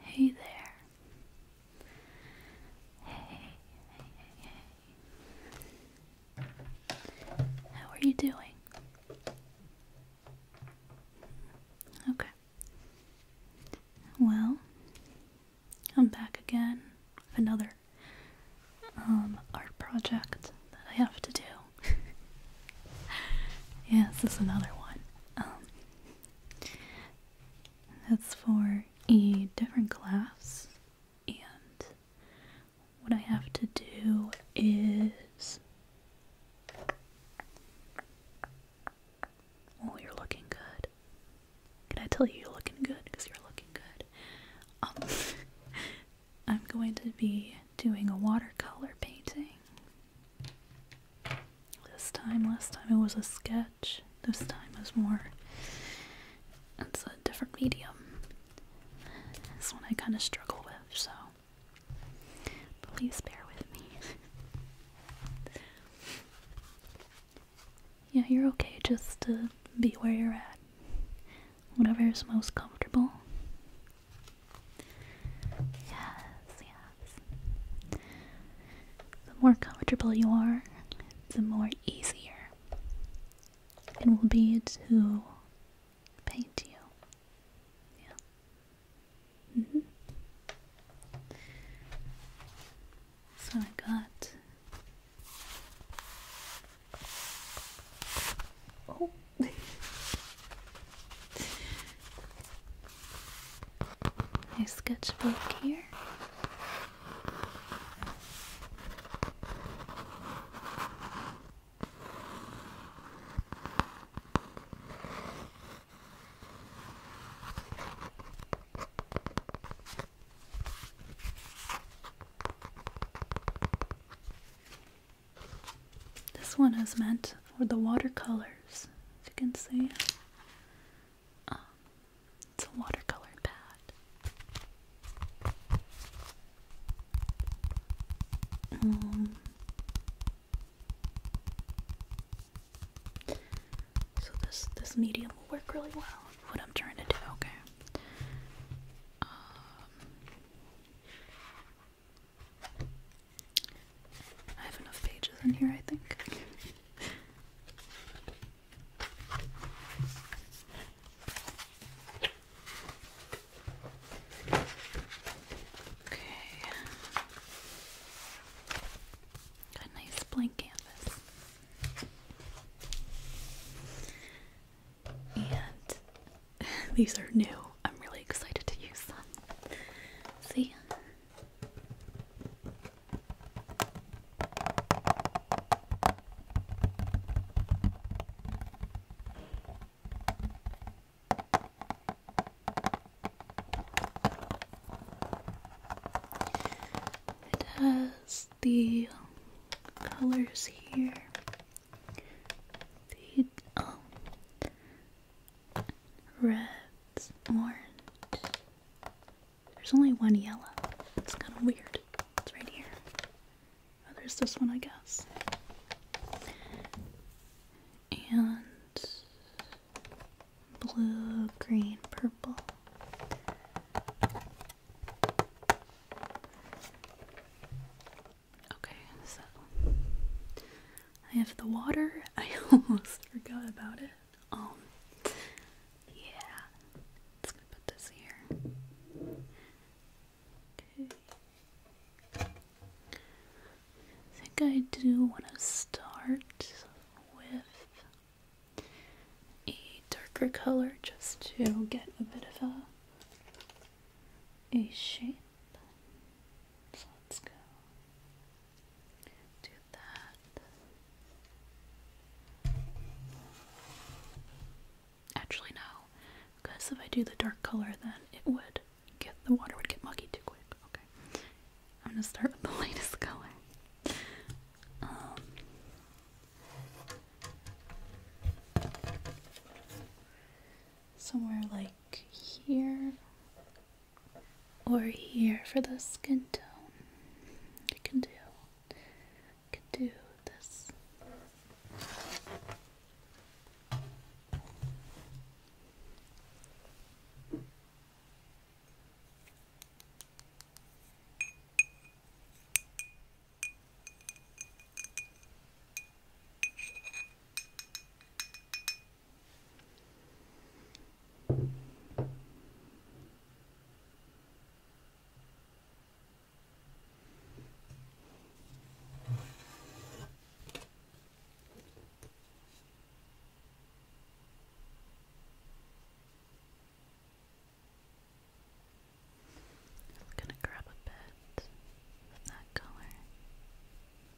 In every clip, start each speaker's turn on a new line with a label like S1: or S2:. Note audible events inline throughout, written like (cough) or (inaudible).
S1: Hey there. Hey, How are you doing? Okay. Well, I'm back again with another um, art project that I have to do. (laughs) yes, this is another one. Um, that's for a different class, and what I have to do is. Oh, you're looking good. Can I tell you you're looking good? Because you're looking good. Um, (laughs) I'm going to be doing a watercolor painting this time, last time it was a sketch. This time is more. It's a different medium. This one I kind of struggle with, so please bear with me. (laughs) yeah, you're okay just to be where you're at. Whatever is most comfortable. Yes, yes. The more comfortable you are, the more easier it will be to paint you. Yeah. Mm -hmm. I got. Oh. (laughs) My sketchbook here. This one is meant for the watercolors, as you can see. Um, it's a watercolor pad. Um, so this this medium will work really well. What I'm trying to do, okay. Um, I have enough pages in here, I think. Okay. Got a nice blank canvas. And (laughs) these are new. I'm really excited to use them. See ya. It has the colors here. The, oh, reds, orange. There's only one yellow. It's kind of weird. It's right here. Oh, there's this one, I guess. And blue, green, purple. Okay, so I have the water. (laughs) I almost forgot about it. Um, yeah, let's put this here. Okay. I think I do want to start with a darker color just to get a bit of a a shape let's go do that. Actually, no, because if I do the dark color, then it would get the water would get muggy too quick. Okay, I'm gonna start with the (laughs) lightest color. Um, somewhere like here or here for the skin tone. I can do I can do this. Just gonna grab a bit of that color.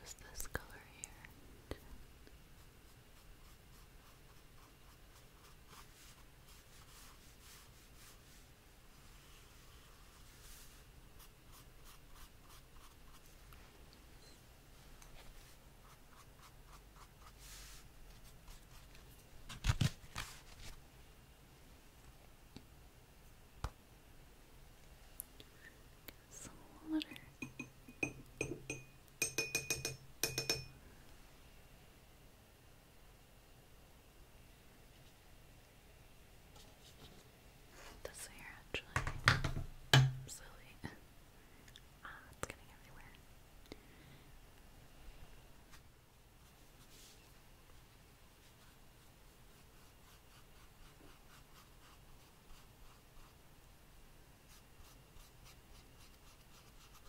S1: Just this color here. Some water. This hair actually silly. (laughs) Ah, it's getting everywhere.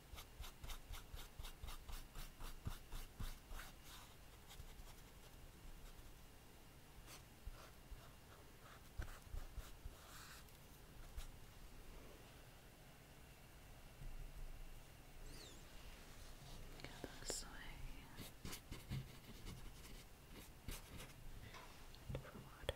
S1: Go this way. And for water.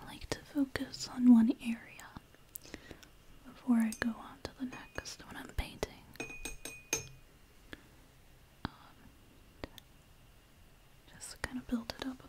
S1: I like to focus on one area before I go on to the next when I'm painting. Um, just kind of build it up a bit.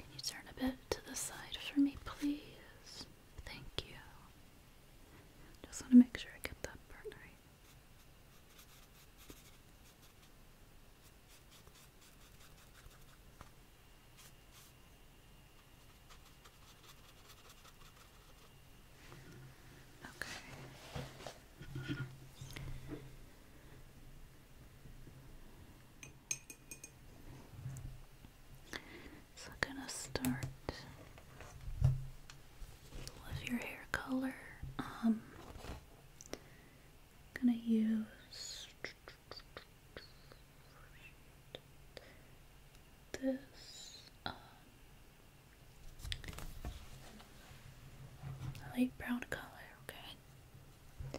S1: Can you turn a bit to the side for me, please? Thank you. Just want to make sure I get that part right. Okay. So I'm gonna start with your hair color. Um, gonna use this um, light brown color. Okay.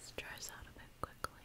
S1: This dries out a bit quickly.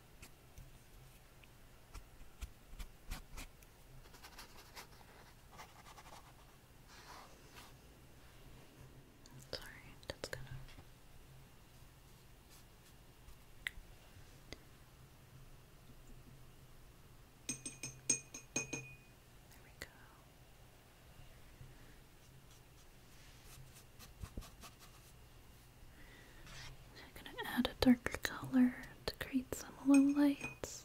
S1: Sorry, that's gonna. There we go. I'm gonna add a darker color to create some low lights.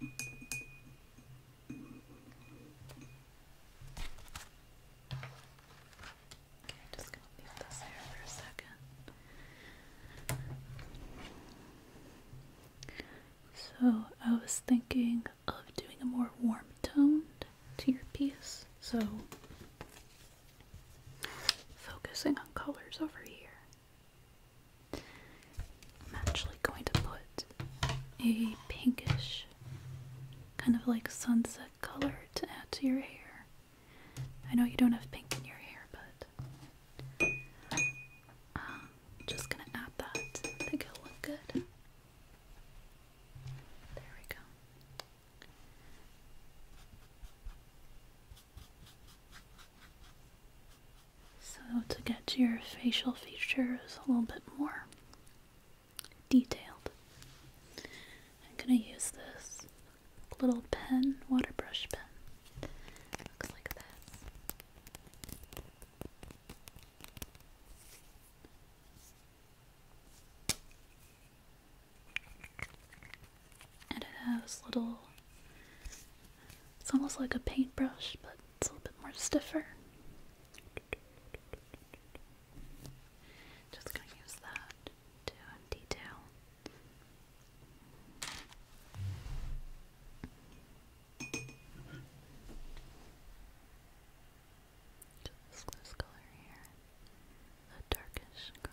S1: Okay, just gonna leave this there for a second. So I was thinking of doing a more warm toned to your piece. So focusing on colors over here. I'm actually going to put a pinkish kind of like sunset color to add to your hair. I know you don't have pink in your hair, but uh, just gonna add that. I think it'll look good. There we go. So, to get your facial features a little bit more detailed, I'm going to use this little pen, water brush pen. Looks like this. And it has little, it's almost like a paintbrush, but it's a little bit more stiffer. Just gonna use that to detail. Just this color here, the darkish gray.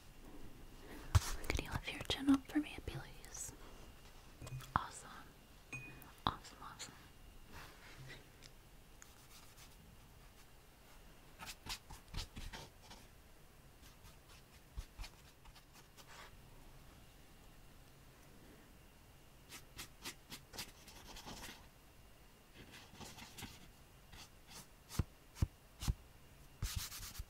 S1: Can you lift your chin up for me, please? Awesome. Awesome, awesome.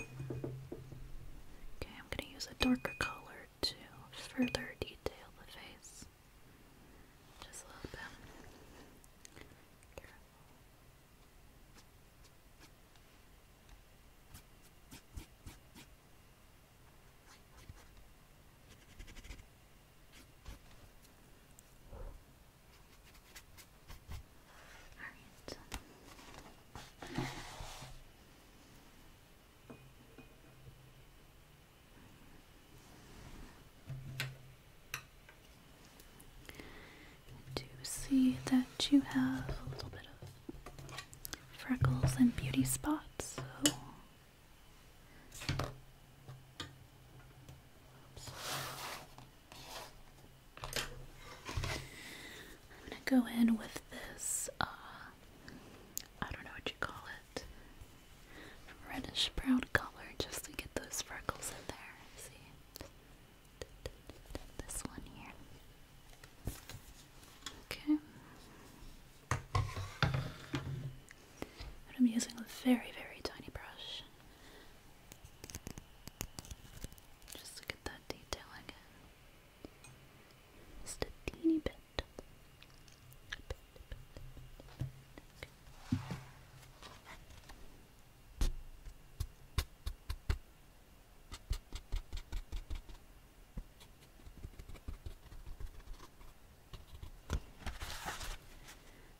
S1: Okay, I'm going to use a darker color to further detail the face. Just a little bit. Alright. I do see that you have freckles and beauty spots, I'm gonna go in with this, uh, I don't know what you call it, reddish brown color just to get those freckles in there. See? This one here. Okay. And I'm using a very, very tiny brush just to get that detail Just a teeny bit.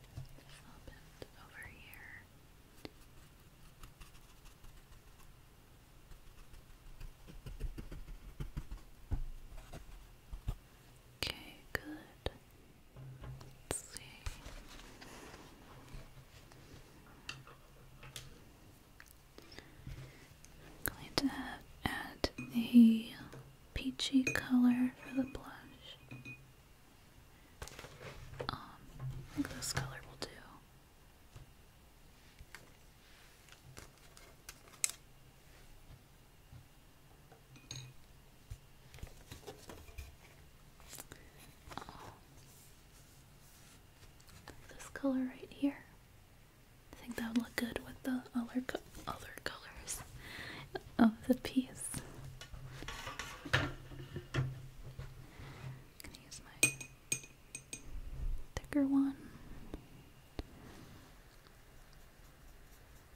S1: I'll bend over here. Okay, good. Let's see. going to add a peachy color for the blush. I um, think this color will do. This color right here. I think that would look good with the other other colors of the piece. I'm gonna use my thicker one.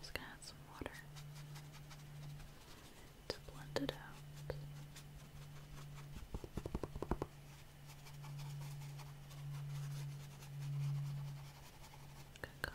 S1: Just gonna add some water to blend it out. Good Okay.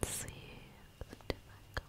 S1: Let's see the different color.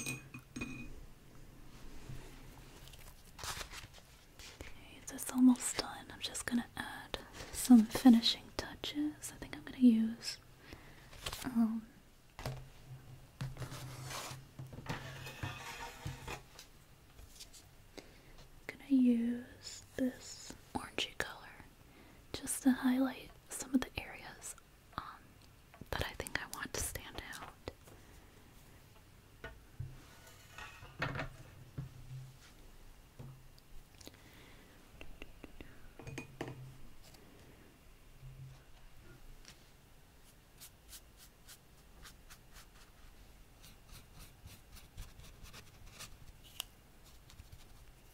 S1: Okay, that's almost done. I'm just gonna add some finishing touches. I think I'm gonna use I'm um, gonna use this orangey color just to highlight some of the areas um, that I think I want to stand out.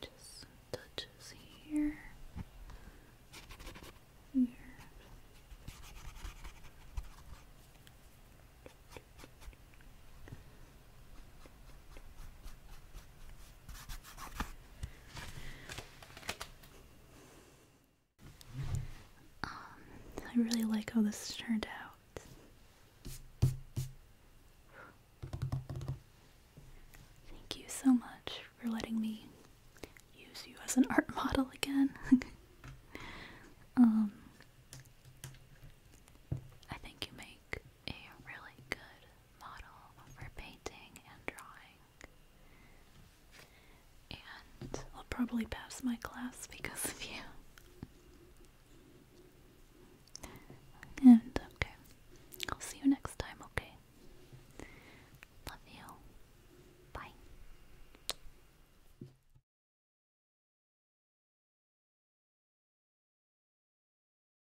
S1: Just some touches here. Here. Um, I really like how this turned out. Thank you so much for letting me use you as an art model again. (laughs) Um, I think you make a really good model for painting and drawing. And I'll probably pass my class because of you. And okay, I'll see you next time, okay? Love you. Bye.